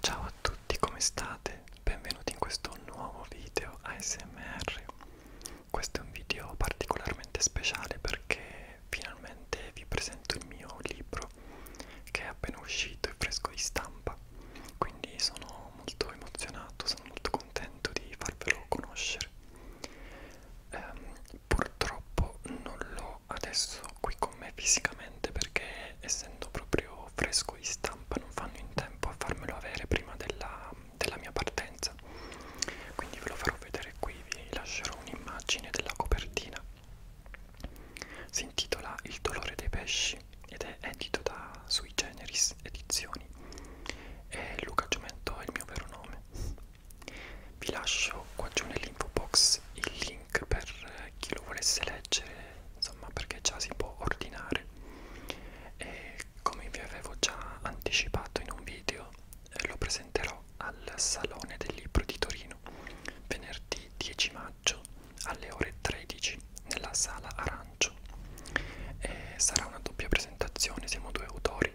Ciao a tutti, come state? Benvenuti in questo nuovo video ASMR. Questo è un video particolarmente speciale perché finalmente vi presento il mio libro che è appena uscito e fresco di stampa. Quindi sono molto emozionato, sono molto contento di farvelo conoscere. Um, purtroppo non l'ho sono adesso qui con me fisicamente perché essendo proprio fresco di stampa non fanno in tempo a farmelo avere prima della, della mia partenza quindi ve lo farò vedere qui vi lascerò un'immagine della copertina si intitola Il dolore dei pesci ed è edito da Sui Generis Edizioni e Luca Giumento è il mio vero nome vi lascio qua giù nell'info box il link link per chi lo volesse leggere insomma perché già si può ordinare e come vi avevo già anticipato in un video eh, lo presenterò al Salone del Libro di Torino venerdì 10 maggio alle ore 13 nella Sala Arancio e sarà una doppia presentazione, siamo due autori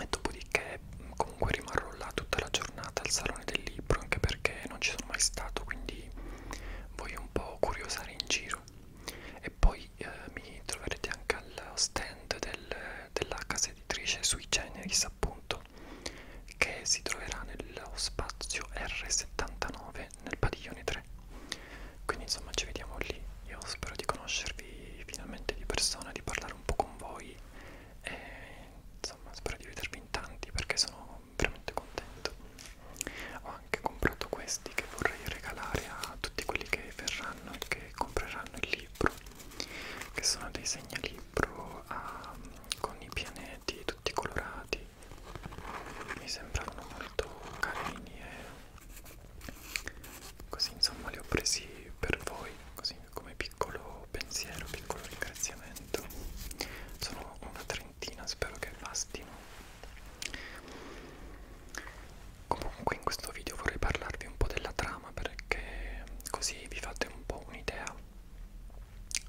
e dopodiché comunque rimarrò là tutta la giornata al salone del libro anche perché non ci sono mai stato quindi voglio un po' curiosare in giro e poi eh, mi troverete anche al stand del, della casa editrice sui generis appunto che si troverà nello spazio R79 nel padiglione 3 quindi insomma ci vediamo lì io spero di conoscervi finalmente di persona di parlare un po' con voi e insomma spero di vedervi in tanti perché sono veramente contento ho anche comprato questi che vorrei regalare a tutti quelli che verranno e che compreranno il libro che sono dei segnalibro a, um, con i pianeti tutti colorati mi sembrano molto carini e così insomma li ho presi per voi così come piccolo pensiero piccolo ringraziamento sono una trentina spero che bastino comunque in questo video vorrei parlarvi un po' della trama perché così vi fate un po' un'idea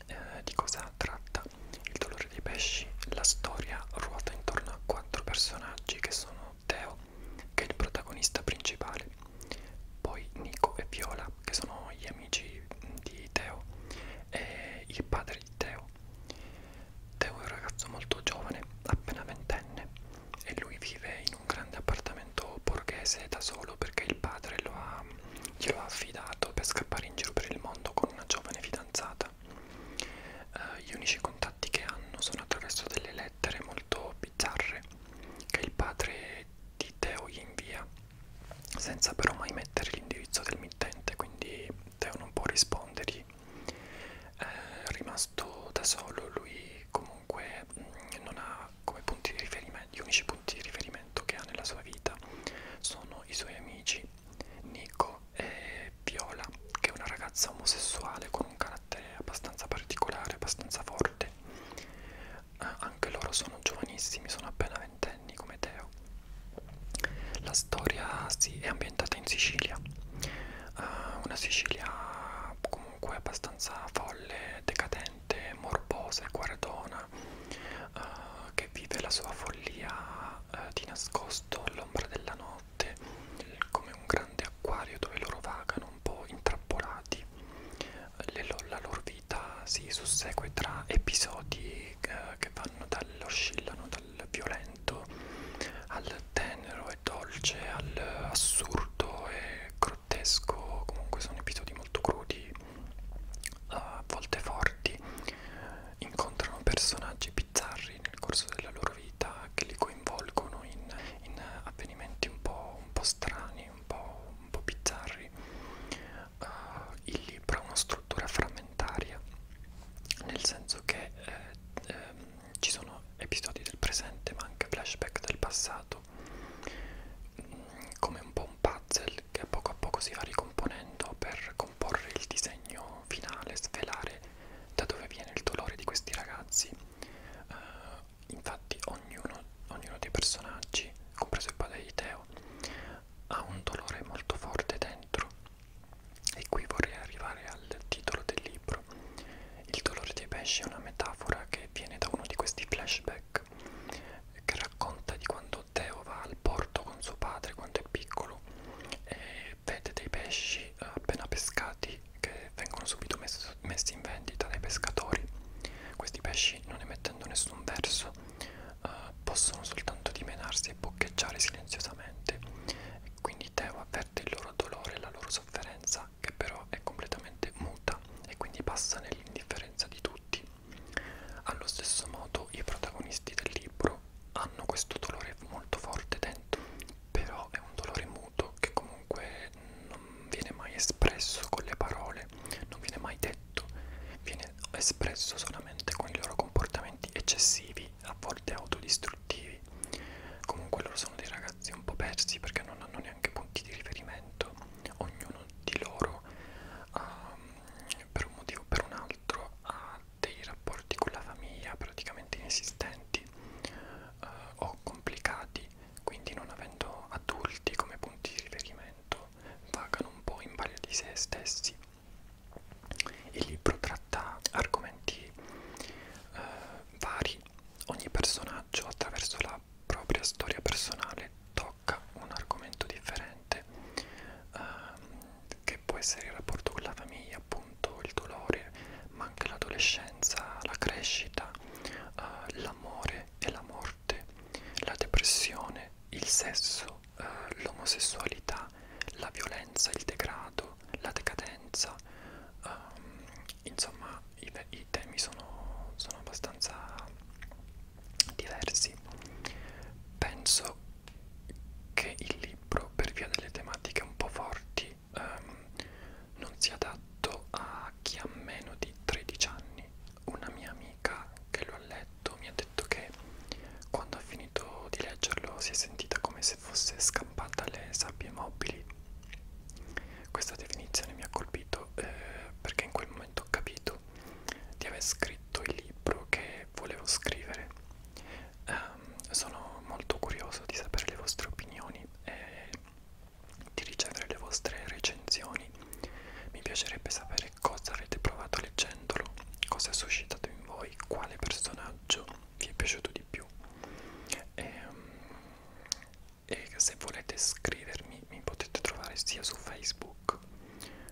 eh, di cosa tratta il dolore dei pesci la storia ruota intorno a quattro personaggi che sono Theo, che è il protagonista principale, poi Nico e Viola, che sono gli amici di Theo, e il padre di Theo. Theo è un ragazzo molto giovane, appena ventenne, e lui vive in un grande appartamento borghese da solo perché il padre lo ha, glielo ha affidato per scappare in giro per il mondo con una giovane fidanzata eh, gli unici contatti che hanno sono attraverso delle lettere molto bizzarre che il padre di Teo gli invia senza però mai mettere l'indirizzo del mittente quindi Teo non può rispondergli eh, rimasto da solo lui comunque mh, mm, non ha come punti di riferimento gli unici punti di riferimento che ha nella sua vita sono i suoi amici Nico e è Viola, che è una ragazza omosessuale con un carattere abbastanza particolare, abbastanza forte. Eh, anche loro sono giovanissimi, sono appena ventenni come Teo. La storia sì, è ambientata in Sicilia, eh, una Sicilia comunque abbastanza folle, decadente, morbosa e guardona, eh, che vive la sua follia eh, di nascosto all'ombra della notte notte come un grande acquario dove loro vagano un po' intrappolati Le, la loro vita si sussegue tra episodi eh, che vanno dall'oscillano dal violento al tenero e dolce al assurdo e grottesco comunque sono episodi molto crudi a volte forti incontrano personaggi bizzarri nel corso della loro vita che li coinvolgono in, in avvenimenti un po', un po strani, un po', un po bizzarri. Uh, il libro ha una struttura frammentaria, nel senso che eh, eh, ci sono episodi del presente ma anche flashback del passato, mm, come un po' un puzzle che poco a poco si va ricomponendo per comporre il disegno capitolo finale svelare da dove viene il dolore di questi ragazzi uh, infatti ognuno, ognuno dei personaggi compreso il padre di Teo ha un dolore molto forte dentro e qui vorrei arrivare al titolo del libro il dolore dei pesci è una metafora che viene da uno di questi flashback che racconta di quando Teo va al porto con suo padre quando è piccolo euro e vede dei pesci appena pescati che vengono subito messo, messi in vendita dai pescatori. Questi pesci, non emettendo nessun verso, uh, possono soltanto dimenarsi e boccheggiare silenziosamente. E quindi Teo avverte il loro dolore e la loro sofferenza, che però è completamente muta e quindi passa nell'indifferenza di tutti. Allo stesso modo i protagonisti del libro hanno questo dolore molto forte dentro, però è un dolore muto che comunque non viene mai espresso con le parole, non viene mai detto, viene espresso solamente con i loro comportamenti eccessivi, a volte autodistruttivi. Comunque loro sono dei ragazzi un po' persi perché non hanno neanche punti di riferimento, ognuno di loro ha per un motivo o per un altro ha dei rapporti con la famiglia praticamente inesistenti eh, o complicati, quindi non avendo adulti come punti di riferimento vagano un po' in balia di se stessi. Il libro tratta argomenti eh, vari, ogni personaggio attraverso la propria storia personale tocca un argomento differente ehm, che può essere il rapporto con la famiglia, appunto il dolore, ma anche l'adolescenza, la crescita, eh, l'amore e la morte, la depressione, il sesso, eh, l'omosessualità, la violenza, il degrado, la decadenza. Ehm, insomma i, i temi sono, sono abbastanza diversi. Penso che il libro, per via delle tematiche un po' forti, um, non sia adatto a chi ha meno di 13 anni. Una mia amica che lo ha letto mi ha detto che quando ha finito di leggerlo si è sentita come se fosse scampata alle sabbie mobili. Questa definizione mi ha colpito eh, perché in quel momento ho capito convinto di aver scritto il libro che volevo scrivere. Um, sono molto curioso di sapere le vostre opinioni e di ricevere le vostre recensioni. Mi piacerebbe sapere cosa avete provato leggendolo, cosa ha suscitato in voi, quale personaggio vi è piaciuto di più. E, um, e se volete scrivermi mi potete trovare sia su Facebook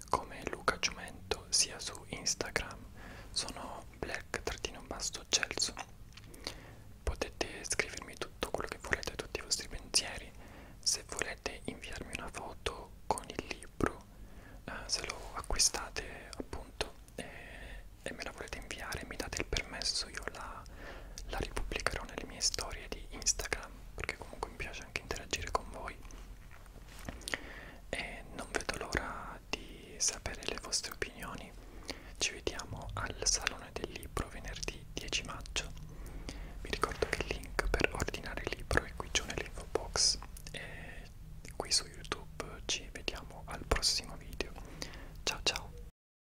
come Luca Giumento sia su Instagram sono black-celso potete scrivermi tutto quello che volete tutti i vostri pensieri se volete inviarmi una foto con il libro eh, se lo acquistate appunto e, e me la volete inviare mi date il permesso io la la ripubblicherò nelle mie storie di Instagram perché comunque mi piace anche interagire con voi e non vedo l'ora di sapere le vostre opinioni ci vediamo al Salone del Libro venerdì 10 maggio vi ricordo che il link per ordinare il libro è qui giù nell'info box e qui su YouTube ci vediamo al prossimo video ciao ciao